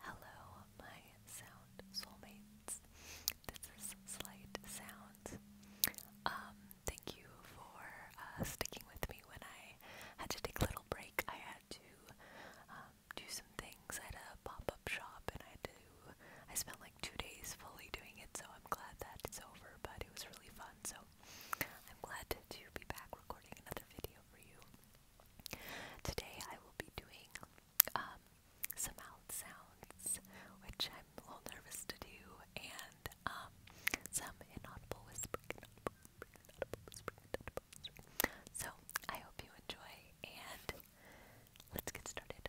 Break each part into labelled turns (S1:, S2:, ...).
S1: Hello, my sound soulmates. This is Slight Sounds. Um, thank you for uh, sticking with me when I had to take a little break. I had to um, do some things I had a pop-up shop, and I had to. I spent like two days fully doing it, so I'm glad that it's over. But it was really fun. So I'm glad to, be back recording another video for you. Today I will be doing um, some mouth sounds, which I'm a little nervous to do, and um, some inaudible whispering. So I hope you enjoy, and let's get started.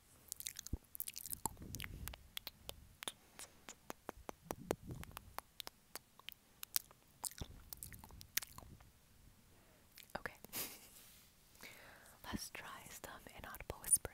S1: Okay. Let's try some inaudible whispering.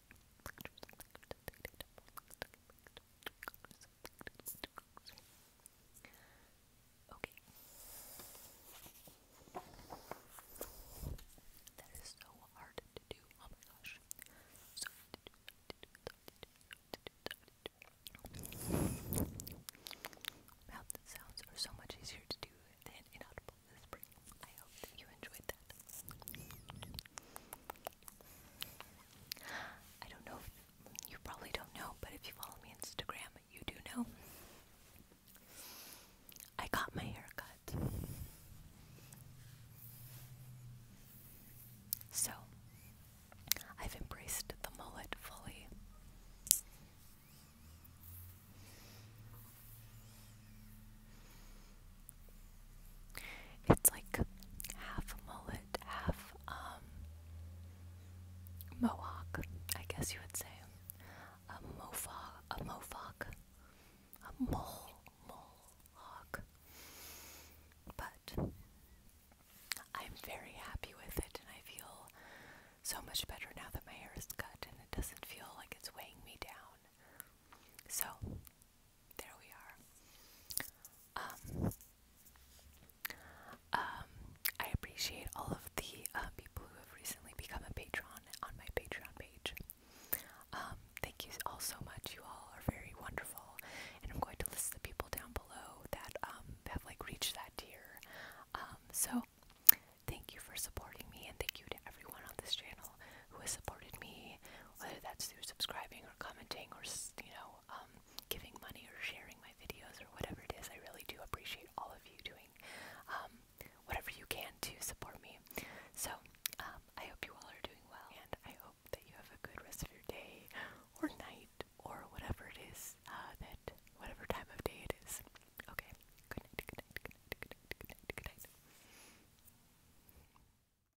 S1: Okay. That is so hard to do. Oh my gosh. Mouth sounds are so much easier to do than inaudible I hope you enjoyed that. I don't know you probably don't know, but if you follow me on Instagram, you do know. I got my haircut, So, I've embraced the mullet fully. It's like half a mullet, half um, mohawk, I guess you would say. A mofa, a mofoc, a mole, mohawk. But I'm very happy with it, and I feel so much better now that my hair is cut and it doesn't feel like it's weighing me down. So, there we are. Um, um, I appreciate all of the uh, people who have recently become a patron on my Patreon page. Um, thank you all so much. You all are very wonderful, and I'm going to list the people down below that um, have like reached that tier. Um, so thank you for supporting me, and thank you to everyone on this channel who has supported me whether that's through subscribing or commenting or you know um, giving money or sharing my videos or whatever it is. I really do appreciate all of you doing um, whatever you can to support me. So um, I hope you all are doing well, and I hope that you have a good rest of your day or night or whatever it is uh, that whatever time of day it is. Okay. Good night. Good night. Good night. Good night. Good night.